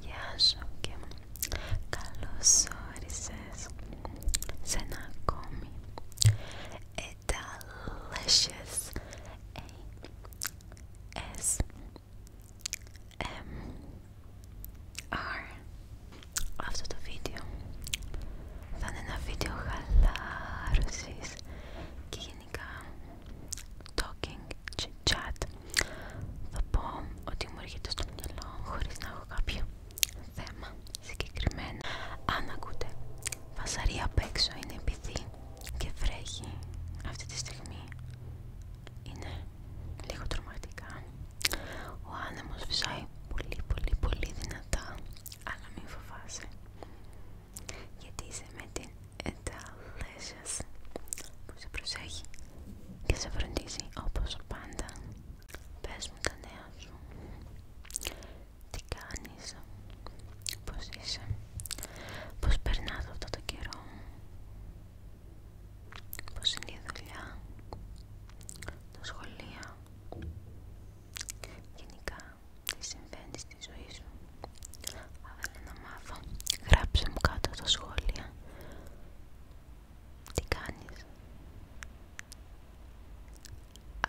Γεια σου και καλώς όρισες σε ένα ακόμη S M R Αυτό το βίντεο θα είναι ένα βίντεο χαλάρωσης και γενικά talking, chat θα πω ότι μου έρχεται στο μυαλό χωρίς να έχω κάποιο θέμα συγκεκριμένο αν ακούτε βασαρία απ' έξω είναι επειδή και βρέχει αυτή τη στιγμή είναι λίγο τρομακτικά ο άνεμος φυσάει πολύ πολύ πολύ δυνατά αλλά μην φοβάσαι γιατί είσαι με την εταλέσσας που σε προσέχει και σε βροντίζει όπως πάντα. Πες μου τα νέα σου, τι κάνεις, πώς είσαι, πώς περνάς αυτό το καιρό, πώς είναι η δουλειά, τα σχολεία, γενικά συμβαίνει στη ζωή σου. Αν να μάθω, γράψε μου κάτω στα σχόλια. Τι κάνεις.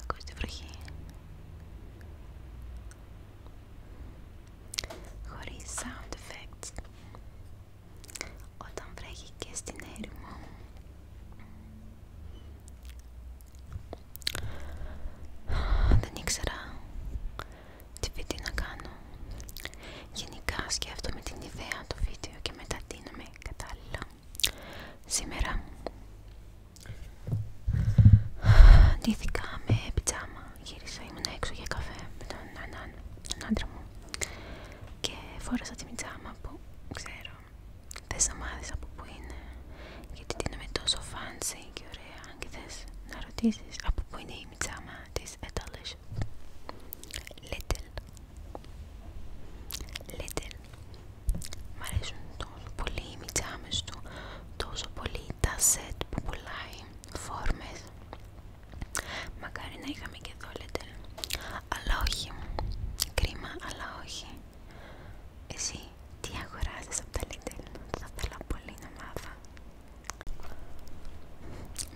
Ακούς τη βροχή. Χωρίς sound effects. Όταν βρέχει και στην έρημο δεν ήξερα τι βίντεο να κάνω. Γενικά σκέφτομαι την ιδέα του βίντεο και μετά τίνομαι κατάλληλα. Σήμερα ντύθηκα με πιτζάμα. Γύρισα, ήμουν έξω για καφέ με τον, άντρα μου και φόρασα τη πιτζάμα που ξέρω Θες να μάθεις από πού είναι, γιατί την με τόσο fancy και ωραία αν και θες να ρωτήσεις από πού είναι η μιτσάμα της Έταλης. Little. Little. Μ' αρέσουν τόσο πολύ οι μιτσάμες του, τόσο πολύ τα σετ που πουλάει, φόρμες. Μακάρι να είχαμε και εδώ Little. Αλλά όχι. Κρίμα, αλλά όχι. Εσύ τι αγοράζεις από τα Lidl, θα ήθελα πολύ να μάθω.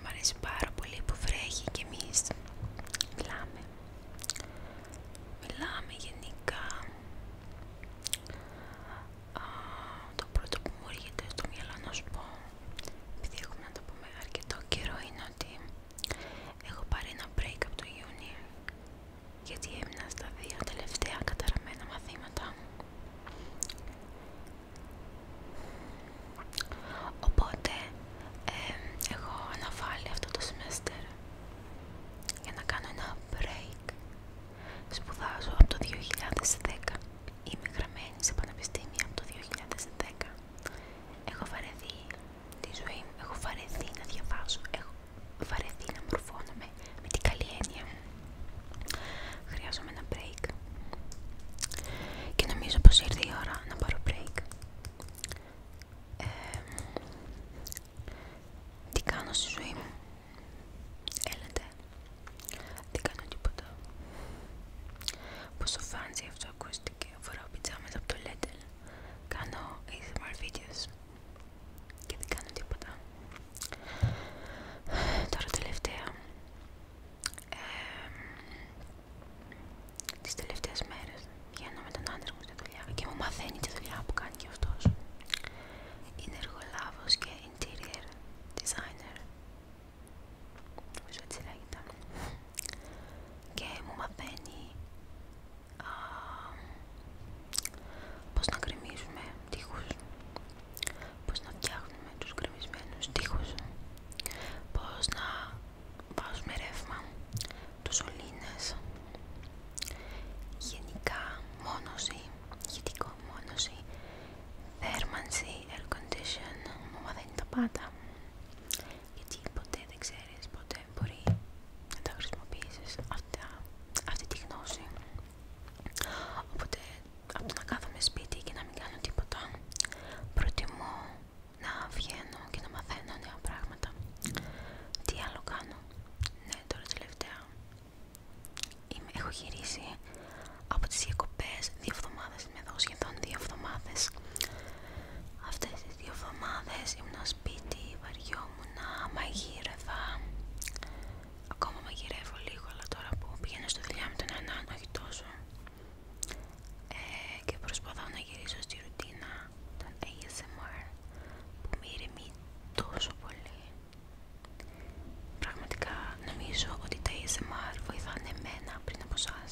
Μ' αρέσει πάρα πολύ που βρέχει και εμείς μιλάμε. Μιλάμε γενικά. το πρώτο που μου έρχεται στο μυαλό να σου πω, επειδή έχουμε να το πούμε αρκετό καιρό, είναι ότι έχω πάρει ένα break από το Ιούνιο γιατί έμεινα στα δύο τελευταία καταραμένα μαθήματα Οπότε εγώ έχω αναβάλει αυτό το semester για να κάνω ένα break. Σπουδάζω από το 2010. Είμαι γραμμένη σε πανεπιστήμια από το 2010. Έχω βαρεθεί τη ζωή μου. Έχω βαρεθεί να διαβάζω, έχω βαρεθεί να μορφώνομαι με την καλή έννοια. Χρειάζομαι ένα break. Και νομίζω πως ήρθε η ώρα να πάρω break. τι κάνω στη ζωή μου. Έλατε. Δεν κάνω τίποτα. Πόσο φάντζι αυτό ακούστηκε. Φοράω πιτζάμες από το letter κάνω ASMR videos και δεν κάνω τίποτα τώρα τελευταία τις τελευταίες μέρες βγαίνω με τον άντρα μου στη δουλειά και μου μαθαίνει τη δουλειά που κάνει και αυτός είναι εργολάβος και interior designer νομίζω έτσι λέγεται και μου μαθαίνει πώς να κρεμίζουμε τείχους, πώς να φτιάχνουμε τους κρεμισμένους τείχους, πώς να βάζουμε ρεύμα, τους σωλήνες, γενικά μόνωση, ηχητικό μόνωση, θέρμανση, air condition, δεν είναι τα πάντα γιατί ποτέ δεν ξέρεις, ποτέ μπορεί να τα χρησιμοποιήσεις αυτή τη γνώση οπότε από το να κάθομαι σπίτι και να μην κάνω τίποτα προτιμώ να βγαίνω και να μαθαίνω νέα πράγματα τι άλλο κάνω ναι τώρα τελευταία Είμαι, έχω γυρίσει από τις διακοπές δύο εβδομάδες, είμαι εδώ σχεδόν δύο εβδομάδες αυτές Δύο δύο εβδομάδες ήμουν σπίτι, βαριόμουν, μαγείρευα ακόμα μαγειρεύω λίγο αλλά τώρα που πηγαίνω στο δουλειά με τον έναν όχι τόσο ε, και προσπαθώ να γυρίσω στη ρουτίνα των ASMR που με ηρεμεί τόσο πολύ πραγματικά νομίζω ότι τα ASMR βοηθάνε εμένα πριν από εσάς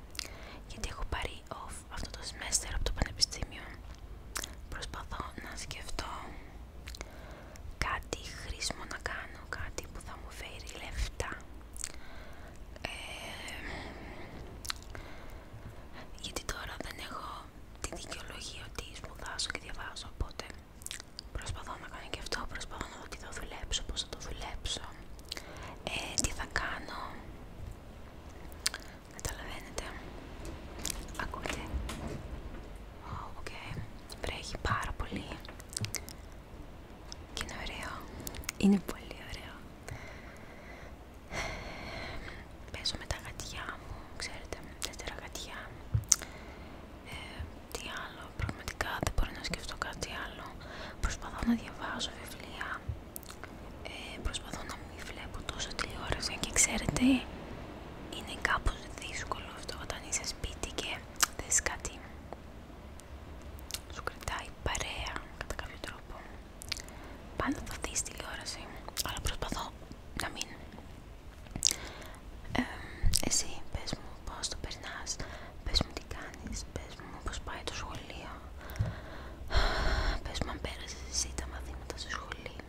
γιατί έχω πάρει off αυτό το semester από το πανεπιστήμιο προσπαθώ να σκεφτώ κάτι χρήσιμο να κάνω, κάτι που θα μου φέρει λεφτά ε, γιατί τώρα δεν έχω τη δικαιολογία ότι σπουδάζω και διαβάζω οπότε προσπαθώ να κάνω και αυτό, προσπαθώ να δω τι δουλέψω, πώς θα το δουλέψω ε, τι θα κάνω καταλαβαίνετε ακούτε οκ, βρέχει πάρα πολύ και είναι ωραίο είναι πολύ ωραίο παίζω με τα γατιά μου ξέρετε, τέσσερα γατιά ε, τι άλλο Πραγματικά δεν μπορώ να σκεφτώ κάτι άλλο. Προσπαθώ να διαβάζω βιβλία. Ε, προσπαθώ να μην βλέπω τόσο τηλεόραση και ξέρετε είναι κάπως δύσκολο αυτό όταν είσαι σπίτι και δες κάτι σου κρατάει παρέα κατά κάποιο τρόπο πάντα θα δεις τηλεόραση αλλά προσπαθώ να μην ε, εσύ πες μου πώς το περνάς, πες μου τι κάνεις, πες μου πώς πάει το σχολείο, πες μου αν πέρασες εσύ τα μαθήματα στο σχολείο,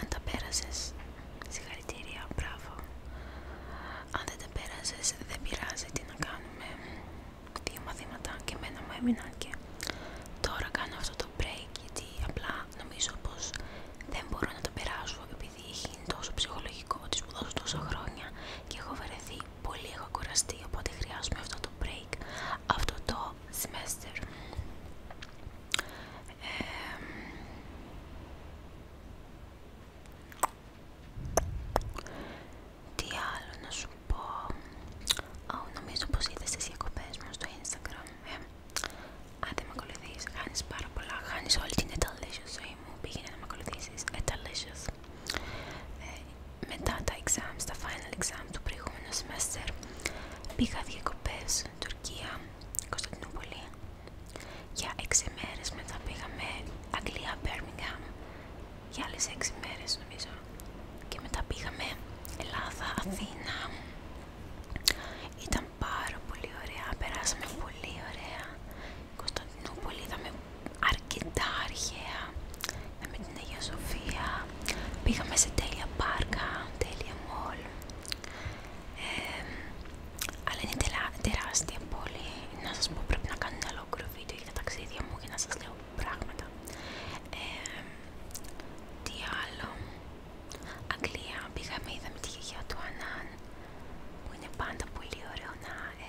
αν τα πέρασες, συγχαρητήρια, μπράβο, αν δεν τα πέρασες δεν πειράζει τι να κάνουμε, δύο μαθήματα και μένα μου έμειναν και τώρα κάνω αυτό το break γιατί απλά νομίζω πως δεν μπορώ να το περάσω Δηλαδή, Είχε τόσο ψυχολογικό ότι σπουδάζω τόσα χρόνια και έχω βαρεθεί πολύ, έχω κουραστεί. Οπότε χρειάζομαι αυτό το break, αυτό το semester. τι άλλο να σου πω. νομίζω πως είδες τις διακοπές μου στο Instagram. Ε. Αν δεν με ακολουθείς, χάνεις πάρα πολλά. Χάνεις όλη την εταλή σου ζωή μου πήγαινε να με ακολουθήσεις ε, ε, μετά τα exams, τα final exam του προηγούμενου semester πήγα διακοπές Τουρκία, Κωνσταντινούπολη για 6 μέρες μετά πήγαμε Αγγλία, Birmingham για άλλες 6 μέρες νομίζω και μετά πήγαμε Ελλάδα, Αθήνα ήταν πάρα πολύ ωραία, περάσαμε πολύ ωραία Κωνσταντινούπολη είδαμε αρκετά αρχαία, είδαμε την Αγία Σοφία, πήγαμε σε τέλεια πάρκα, τέλεια μόλ, αλλά είναι τελα, τεράστια πόλη, να σας πω πρέπει να κάνω ένα ολόκληρο βίντεο για τα ταξίδια μου για να σας λέω πράγματα. τι άλλο, Αγγλία, πήγαμε, είδαμε τη γιαγιά του Ανάν, που είναι πάντα πολύ ωραίο να, ε,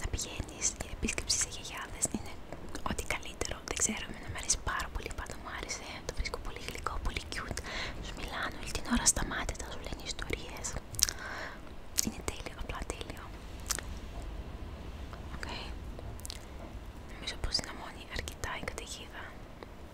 να πηγαίνει για επίσκεψη σε γιαγιάδε. Είναι ό,τι καλύτερο. Δεν ξέρω, εμένα μου αρέσει πάρα πολύ. Πάντα μου άρεσε. Το βρίσκω πολύ γλυκό, πολύ cute. στο μιλάνε όλη την ώρα σταμάτητα τα σου λένε ιστορίε. Είναι τέλειο, απλά τέλειο. Νομίζω πω δυναμώνει αρκετά η καταιγίδα.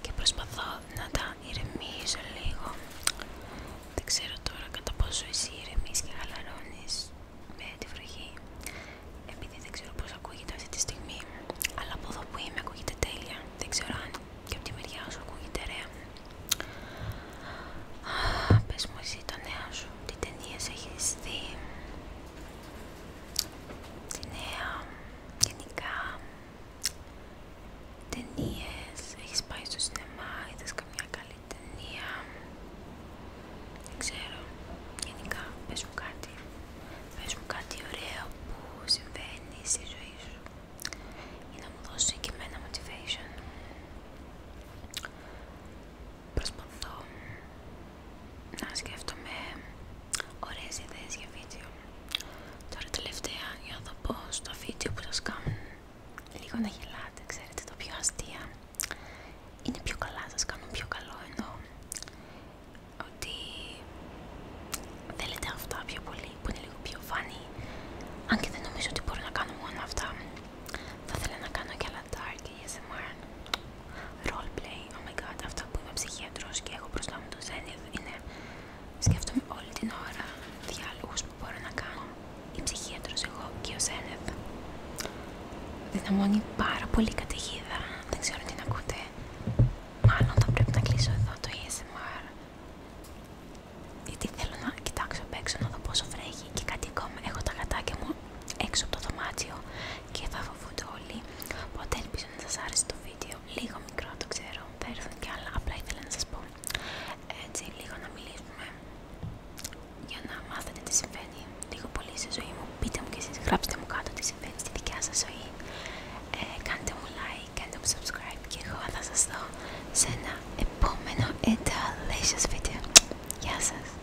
και προσπαθώ να τα ηρεμήσω λίγο. Δεν ξέρω τώρα κατά πόσο εσύ ηρεμείς και χαλαρώνεις με τη βροχή, επειδή δεν ξέρω πώς ακούγεται αυτή τη στιγμή, αλλά από εδώ που είμαι ακούγεται τέλεια. Δεν ξέρω αν και από τη μεριά σου ακούγεται ωραία Πες μου εσύ τα νέα σου, τι ταινίες έχεις δει, τη νέα, γενικά, ταινίες, έχεις πάει στο σινεμά, είδες καμιά καλή ταινία, δεν ξέρω, γενικά, πες μου κάτι, πες μου κάτι ωραίο που συμβαίνει στη ζωή σου για να μου δώσει και εμένα motivation προσπαθώ να σκέφτομαι ωραίες ιδέες για βίντεο. Τώρα τελευταία για να το πω στο βίντεο που σας κάνουν λίγο να γελάτε, ξέρετε, το πιο αστεία είναι πιο καλά, σας κάνουν πιο καλό ενώ ότι θέλετε αυτά πιο πολύ που είναι λίγο πιο φανή αν και δεν νομίζω ότι μπορώ να κάνω μόνο αυτά θα ήθελα να κάνω και Λαντάρ και esmr roleplay. Oh my god, αυτό που είμαι ψυχίατρος και έχω μπροστά μου το Zenith είναι σκέφτομαι όλη την ώρα διάλογους που μπορώ να κάνω η ψυχίατρος εγώ και ο Zenith. Δυναμώνει πάρα πολύ καταιγίδα, δεν ξέρω τι να ακούτε. Μάλλον θα πρέπει να κλείσω εδώ το esmr Γιατί θέλω να κοιτάξω απ' έξω να δω πόσο βρέχει και κάτι ακόμα. Έχω τα κατάκια μου έξω από το δωμάτιο και θα φοβούνται όλοι. Οπότε ελπίζω να σας άρεσε το βίντεο. Λίγο μικρό το ξέρω, θα έρθουν και άλλα. Απλά ήθελα να σας πω έτσι λίγο να μιλήσουμε για να μάθετε τι συμβαίνει λίγο πολύ στη ζωή μου. Πείτε μου και εσείς, γράψτε μου κάτω τι συμβαίνει στη δικιά σας ζωή. Ε, κάντε μου like, κάντε μου subscribe και εγώ θα σας δω σε ένα επόμενο delicious βίντεο Γεια σας!